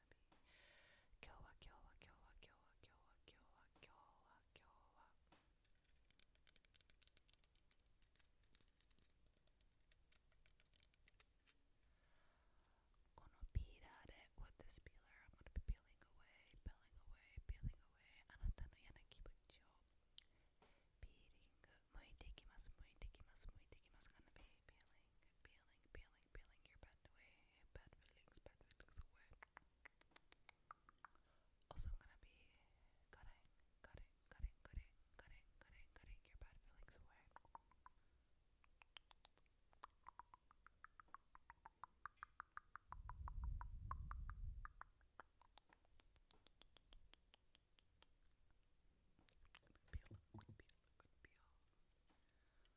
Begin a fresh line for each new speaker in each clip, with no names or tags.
wanna Gonna beat at it with this peeler. I'm gonna be peeling away, peeling away, peeling away. Anata no yana peeling. Muite ikimasu, muite ikimasu, muite ikimasu. Gonna peeling, peeling, peeling your bad away, bad feelings, bad feelings away. Also, I'm gonna be cutting, cutting, cutting, cutting, cutting, cutting, cutting your bad feelings away.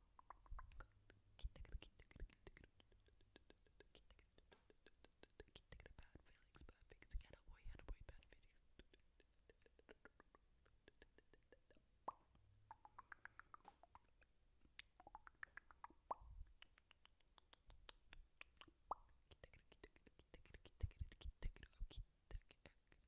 bad feelings, bad feelings. Get away, get away, bad feelings.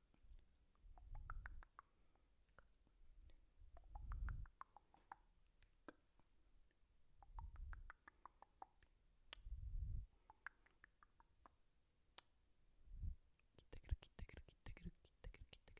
Cut it. I'm gonna cut it. I'm gonna cut bad for this. Cut, cut, cut.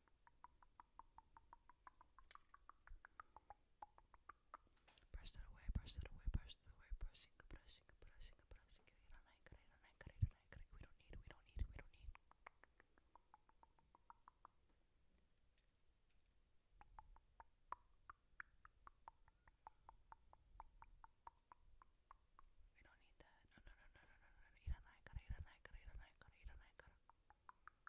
Brush that away, brush that away, brush that away, brushing, brushing, brushing, brushing. We don't need, we don't need, we don't need. We don't need that. No, no, no, no, no, no, no.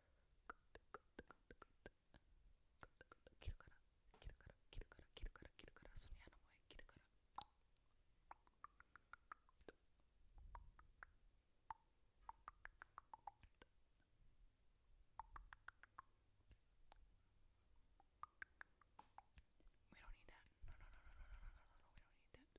切るから切るから切るから切るから切るからその矢の前切るから We don't need that. No, no, no, no, no, no, no, no, no. We don't need that.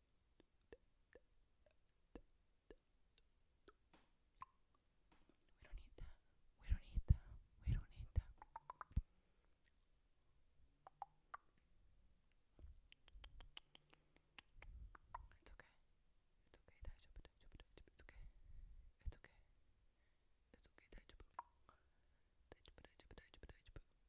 We don't need that. We don't need that. We don't need that. It's okay. It's okay. It's okay. It's okay. It's okay. It's okay.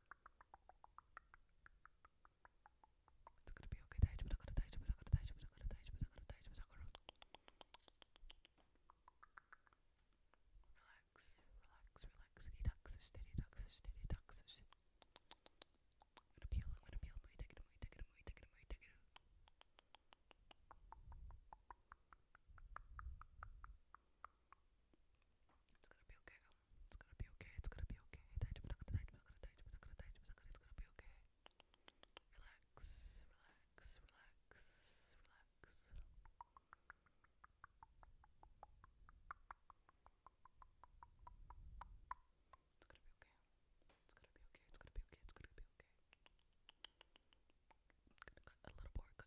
It's gonna be okay. Relax, relax, relax. Relax, steady, relax, steady, relax. I'm gonna peel, I'm gonna peel. Take it away, take it away, take it away, take it away. It's gonna be okay. It's gonna be okay. It's gonna be okay. It's gonna be okay. Relax, relax, relax, relax. It's gonna be okay. It's gonna be okay. It's gonna be okay. It's gonna be okay. a little more.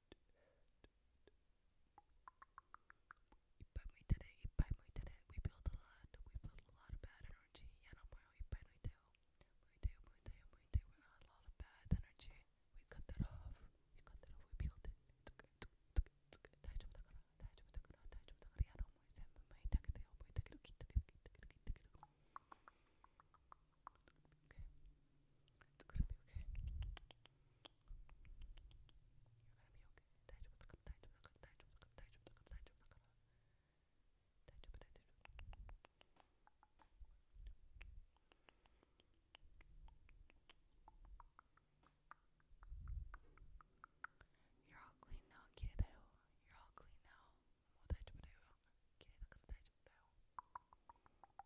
Ipa muitere, We build a lot. We build a lot of bad energy. Yanamoyo ipa muiteo. Muiteo, muiteo, muiteo. We got a lot of bad energy. We cut that off. We cut that off. We peeled it. It's okay. It's okay. It's okay. Daijoubu da kara. Daijoubu da kara. Daijoubu da kara. Yanamoyo senbu muitaketeo. Muitakeru, kitakeru, kitakeru, kitakeru. Okay. It's gonna be okay. You're gonna be okay. You're all clean now, You're all clean now.